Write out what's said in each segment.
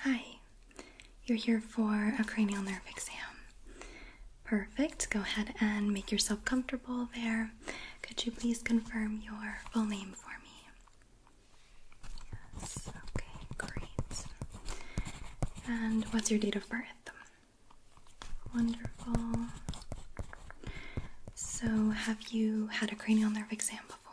Hi, you're here for a cranial nerve exam. Perfect. Go ahead and make yourself comfortable there. Could you please confirm your full name for me? Yes, okay, great. And what's your date of birth? Wonderful. So, have you had a cranial nerve exam before?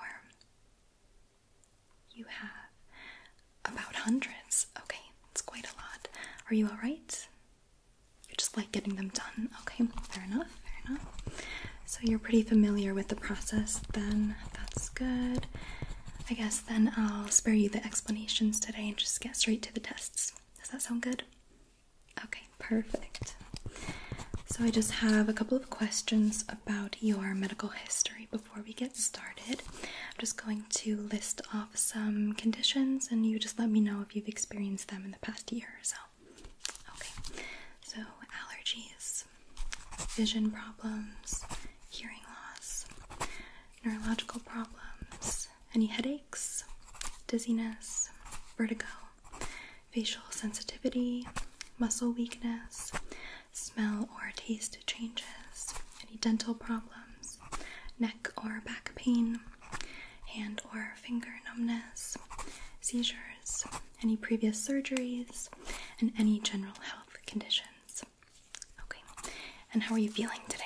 You have about hundreds. Okay, that's quite a lot. Are you alright? You just like getting them done. Okay, fair enough, fair enough. So, you're pretty familiar with the process then. That's good. I guess then I'll spare you the explanations today and just get straight to the tests. Does that sound good? Okay, perfect. So I just have a couple of questions about your medical history before we get started. I'm just going to list off some conditions and you just let me know if you've experienced them in the past year or so. Okay, so allergies, vision problems, hearing loss, neurological problems, any headaches, dizziness, vertigo, facial sensitivity, muscle weakness, smell or taste changes, any dental problems, neck or back pain, hand or finger numbness, seizures, any previous surgeries, and any general health conditions. Okay, and how are you feeling today?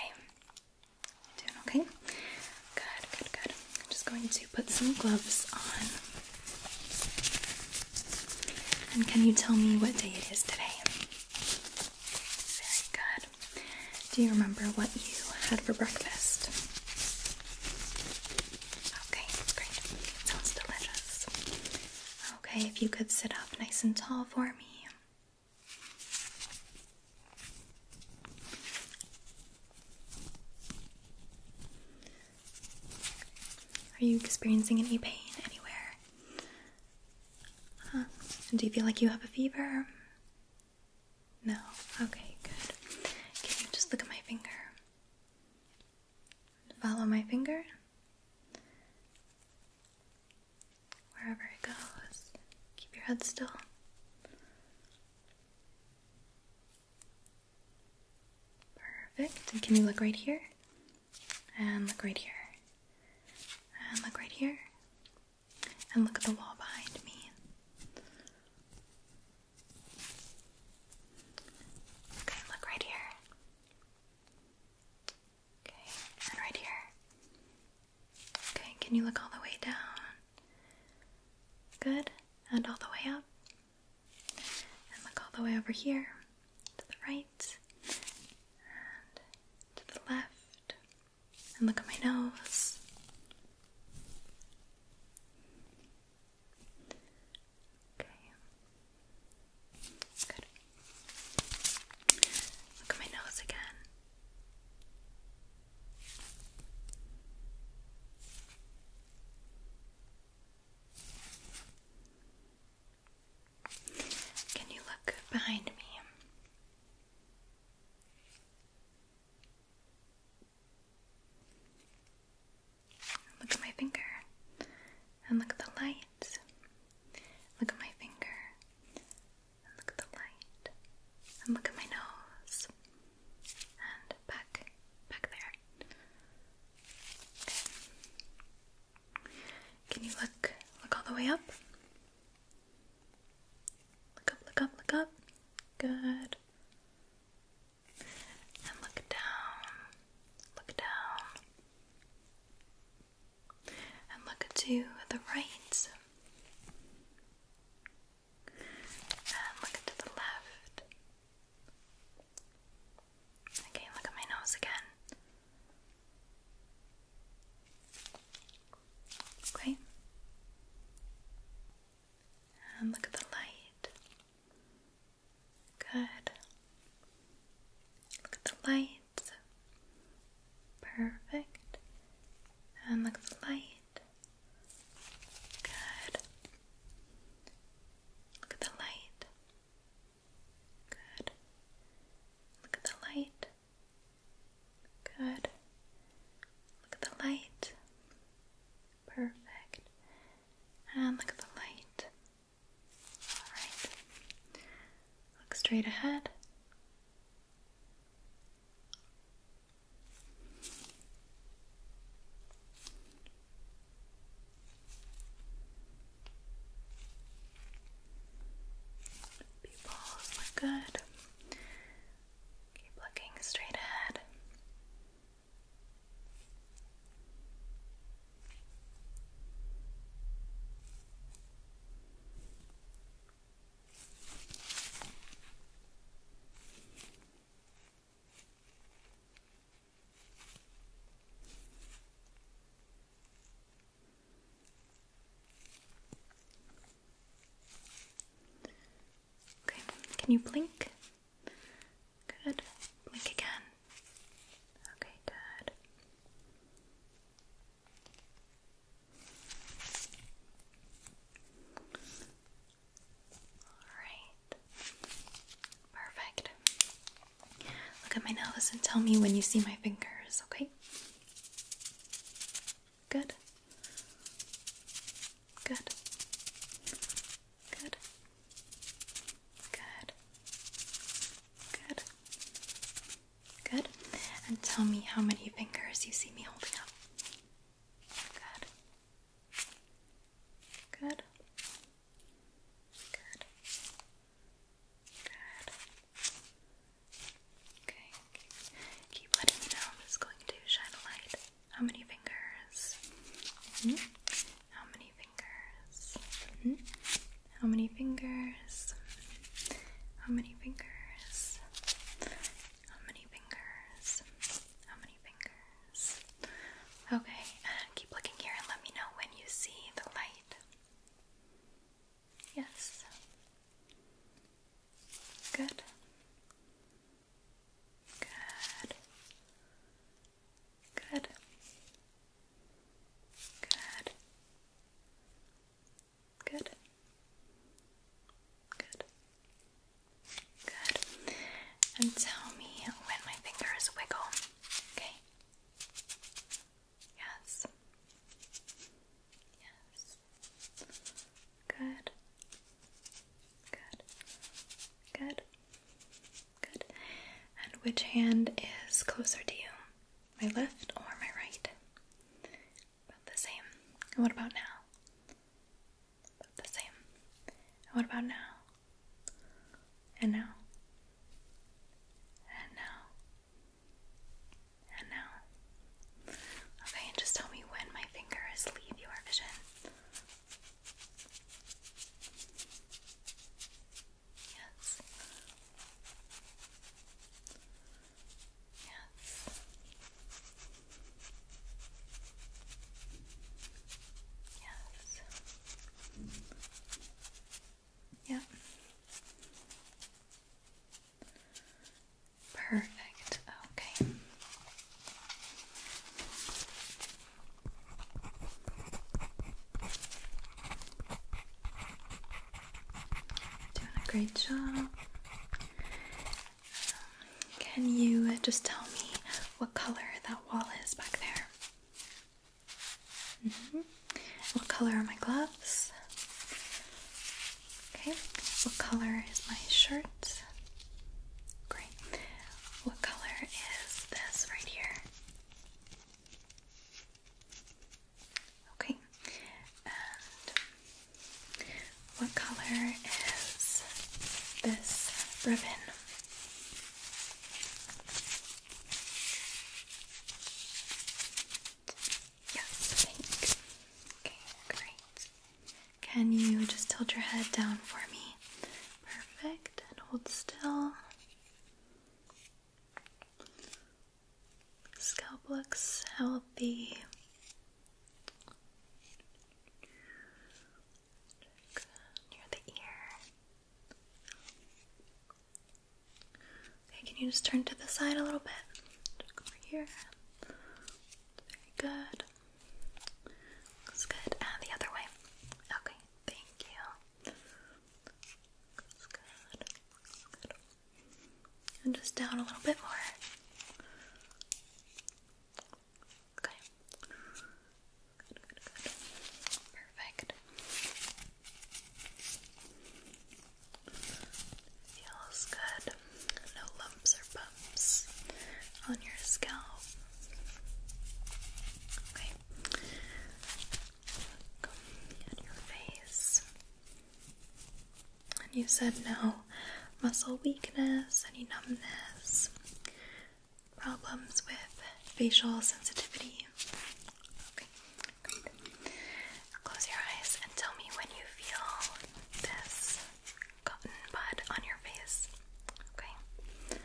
okay? Good, good, good. I'm just going to put some gloves on. And can you tell me what day it is today? Very good. Do you remember what you had for breakfast? Okay, great. Sounds delicious. Okay, if you could sit up nice and tall for me. Are you experiencing any pain anywhere? do you feel like you have a fever? No. Okay, good. Can you just look at my finger? Follow my finger wherever it goes. Keep your head still. Perfect. And can you look right here? And look right here. And look right here. And look at the wall behind me. Okay, look right here. Okay, and right here. Okay, can you look all the way down? Good. And all the way up. And look all the way over here. To the right. And to the left. And look at my nose. Okay. Good. Look at my nose again. Can you look behind me? Look at my finger and look at the lights. Look at my finger and look at the light, and look at my nose, and back, back there. Okay. Can you look, look all the way up? Look up, look up, look up. Good. And look down, look down and look to the right and look to the left. Okay, look at my nose again. Okay. And look at the light. Good. Look at the light. Perfect. And look at the light. Good. Look at the light. Good. Look at the light. Good. Look at the light. Perfect. And look at the light. Alright. Look straight ahead. Pupils look good. Keep looking straight ahead. Okay, can you blink? Good. Blink again. Okay, good. Alright. Perfect. Look at my nails and tell me when you see my fingers, okay? Good. Good. Good. Good. Good. Good. And tell me how many fingers you see me holding up. Good. Good. Good. Good. Okay. Keep letting me know. I'm just going to shine a light. How many fingers? Mm-hmm. How many fingers? Mm-hmm. How many fingers? How many fingers? How many fingers? How many fingers? Okay, keep looking here and let me know when you see the light. Yes. Good. Good. Good. Good. Good. Good. Good. And tell me when my fingers wiggle. Okay. Yes. Yes. Good. Good. Good. Good. And which hand is closer to you? My left or my right? About the same. And what about now? About the same. And what about now? And now? And now? And now? Okay, and just tell me when my fingers leave your vision. Yes. Yes. Yes. Yep. Perfect. Okay. Doing a great job. Um, can you just tell me what color that wall is back there? Mm-hmm. What color are my gloves? Okay. What color is my shirt? Great. What color is this right here? Okay, and what color is this ribbon? Yes, pink. Okay, great. Can you just tilt your head down for me? Perfect, and hold still. Scalp looks healthy. near the ear. Okay, can you just turn to the side a little bit? over here. Very good. Looks good. And the other way. Okay, thank you. Looks good. Looks good and just down a little bit more. Okay. Perfect. Feels good. No lumps or bumps on your scalp. Okay. Look your face. And you said no muscle weakness, any numbness, problems with facial sensitivity. Okay, great. Close your eyes and tell me when you feel this cotton bud on your face. Okay.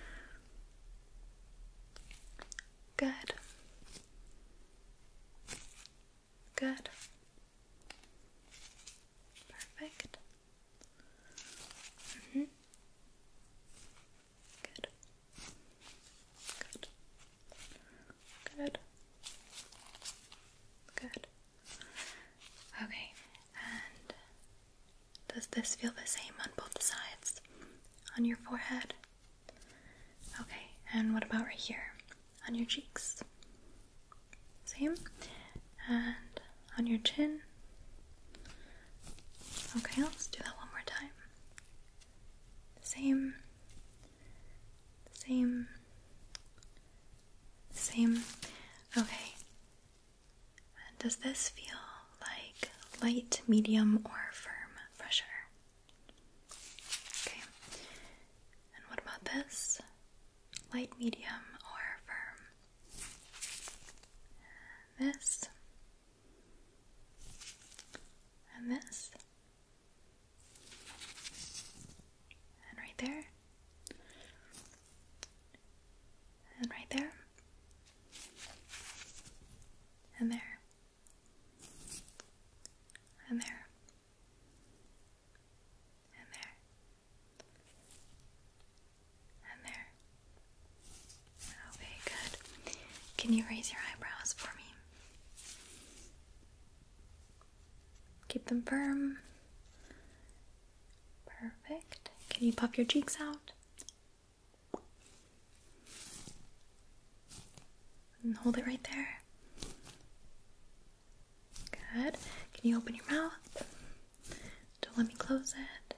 Good. Good. Perfect. Mm -hmm. Good. Good. Good. Good. Okay, and does this feel the same on both sides? On your forehead? Okay, and what about right here on your cheeks? Same, and on your chin. Okay, let's do that one more time. Same, same, same. Okay, does this feel like light, medium, or firm pressure? Okay. And what about this? Light, medium, or firm? this. And this. And right there. And right there. And there and there, and there, and there. Okay, good. Can you raise your eyebrows for me? Keep them firm. Perfect. Can you puff your cheeks out? And hold it right there. Good. Can you open your mouth? Don't let me close it.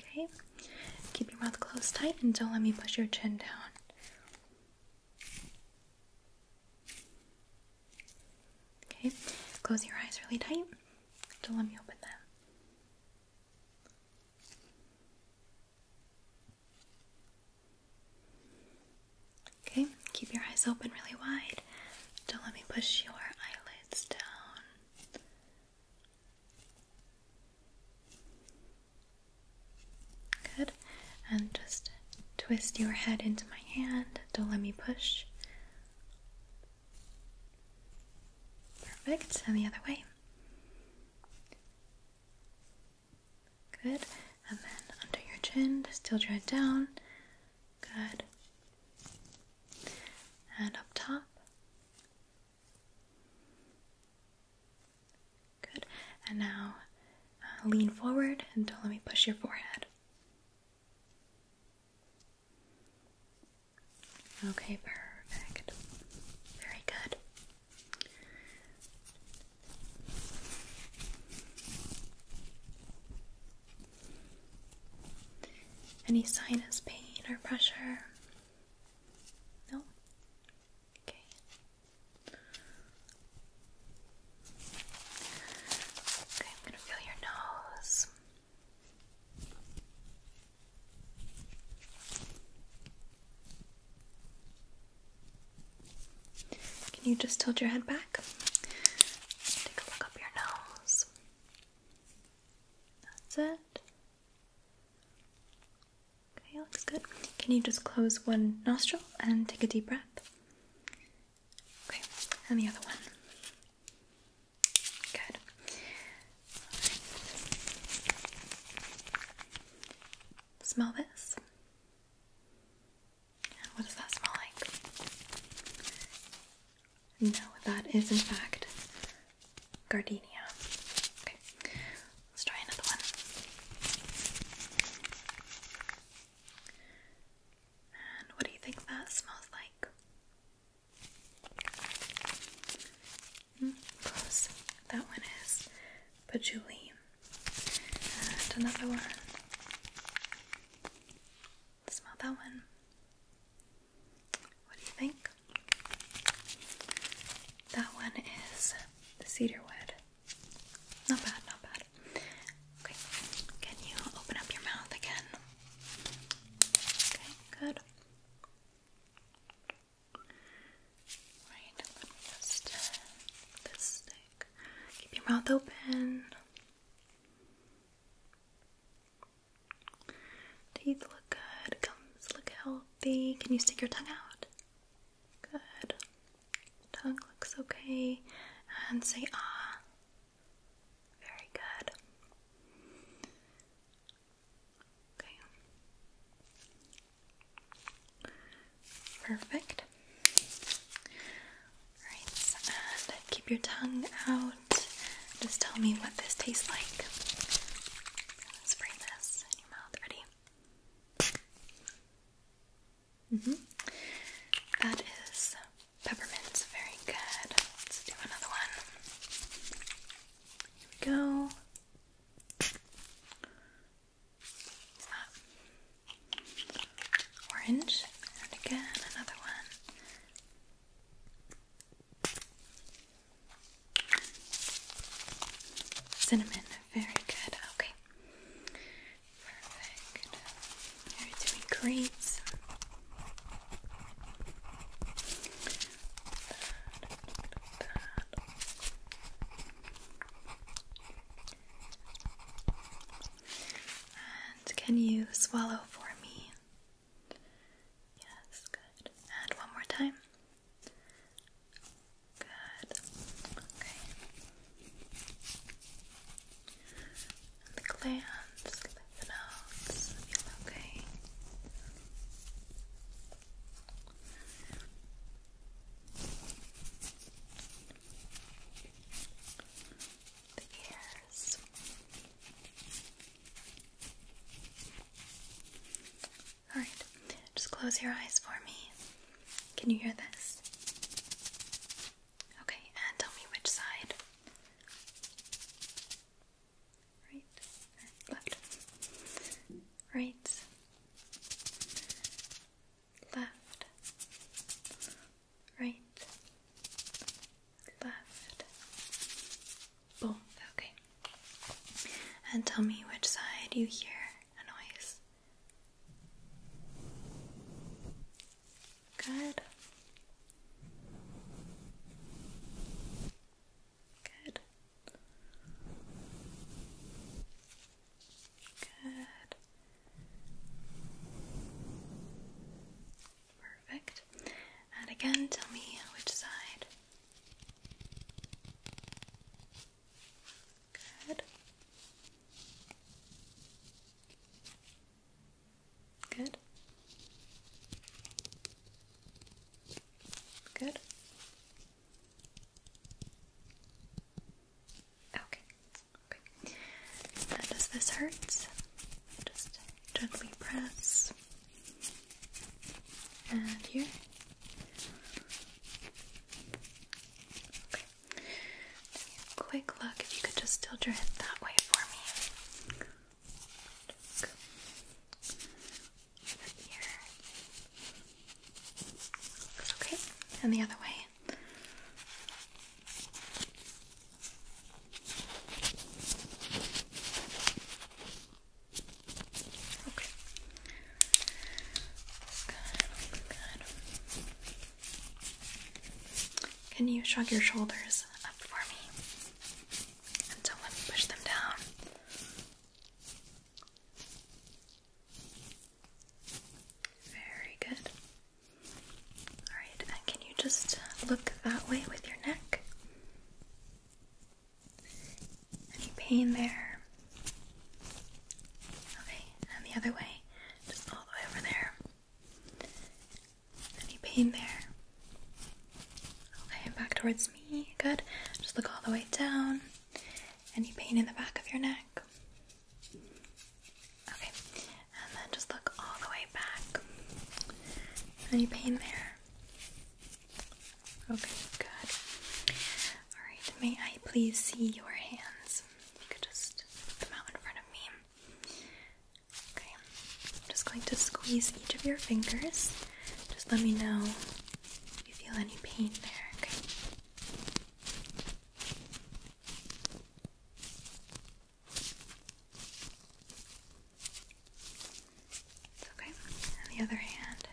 Okay. Keep your mouth closed tight and don't let me push your chin down. Okay. Close your eyes really tight. Don't let me open them. Okay, keep your eyes open really wide. Don't let me push your eyelids down. Good. And just twist your head into my hand. Don't let me push. Perfect, and the other way. Good, and then under your chin, still draw it down. Good. And up top. Good, and now uh, lean forward and don't let me push your forehead. Okay, perfect. Very good. Any sinus pain or pressure? No? Okay. Okay, I'm going to feel your nose. Can you just tilt your head back? Take a look up your nose. That's it. Okay, looks good. Can you just close one nostril and take a deep breath? Okay, and the other one. Good. Smell this. What does that smell like? No, that is in fact gardenia. Okay, let's try another one. And what do you think that smells like? Mm, that one is patchouli. And another one. Smell that one. What do you think? That one is the cedarwood. Not bad, not bad. Okay, can you open up your mouth again? Okay, good. Keep your mouth open. Teeth look good. Gums look healthy. Can you stick your tongue out? Good. Tongue looks okay. And say ah. Very good. Okay. Perfect. Alright, and keep your tongue out. Just tell me what this tastes like. Spray this in your mouth. Ready? Mm-hmm. That is peppermint. Very good. Let's do another one. Here we go. Ah. Orange, and again another one. Cinnamon, very good. Okay, perfect. doing great. And can you swallow for me? Yes, good. And one more time. Good. Okay. the glands, the nose. okay. The ears. Alright, just close your eyes for me. Can you hear this? Okay, and tell me which side right, left, right, left, right, left, both. Okay. And tell me which side you hear a noise. Good. Good. Good. Perfect. And again, tell me which side. Good. Good. Good. Okay. Okay. does this hurt? Just gently press. And here. Okay. Quick look if you could just tilt your head that way for me okay. And the other way. Okay. Can you shrug your shoulders up for me? And so let me push them down. Very good. Alright, can you just look that way with your neck? Any pain there? Okay, and the other way, just all the way over there. Any pain there? Okay, back towards me. Good. Just look all the way down. Any pain in the back of your neck? Okay, and then just look all the way back. Any pain there? Okay, good. Alright, may I please see your hands? You could just put out in front of me. Okay, I'm just going to squeeze each of your fingers. Just let me know if you feel any pain there, okay? It's okay. the other hand.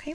Okay.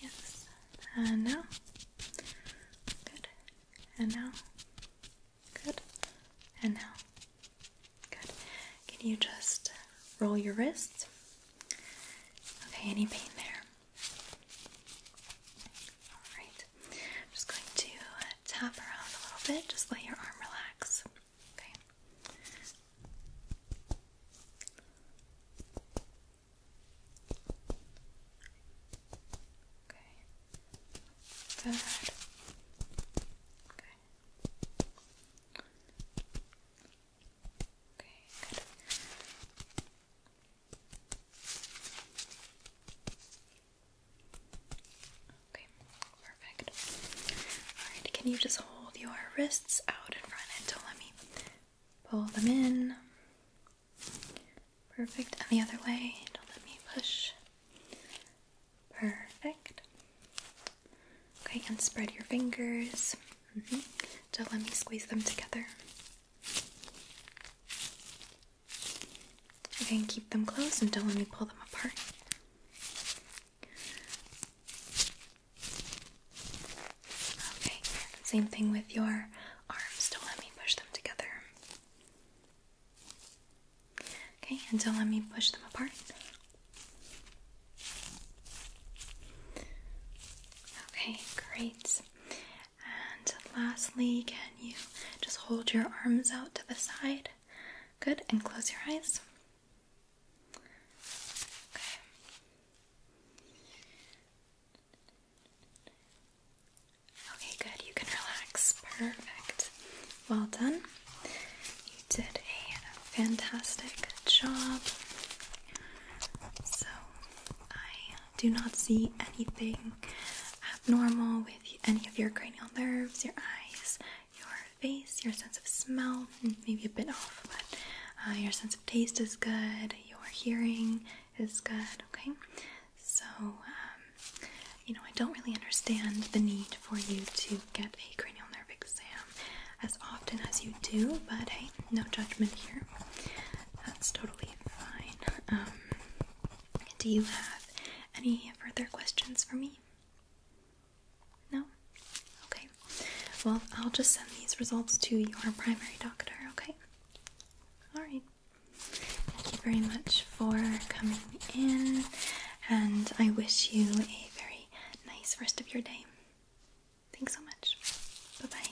Yes. And now. Good. And now. Good. And now. Good. Can you just roll your wrists? Okay, any pain there? Alright. I'm just going to uh, tap around a little bit. Just let your arm relax. Okay. Okay. Good. Okay. Okay, Okay, perfect. Alright, can you just hold your wrists out in front until let me pull them in. Perfect. And the other way. Don't let me push. Perfect. Okay, and spread your fingers. Mm-hmm. Don't let me squeeze them together. Okay, keep them close and don't let me pull them apart. Okay, same thing with your arms. Don't let me push them together. Okay, and don't let me push them apart. Okay, great. And lastly, can you just hold your arms out to the side? Good, and close your eyes. Okay. Okay, good. You can relax. Perfect. Well done. You did a fantastic job. So, I do not see anything abnormal with any of your cranial nerves, your eyes, your face, your sense of smell, maybe a bit off, but uh, your sense taste is good, your hearing is good, okay? So, um, you know, I don't really understand the need for you to get a cranial nerve exam as often as you do, but hey, no judgment here. That's totally fine. Um, do you have any further questions for me? No? Okay. Well, I'll just send these results to your primary doctor, okay? Alright. Thank you very much for coming in, and I wish you a very nice rest of your day. Thanks so much. Bye bye.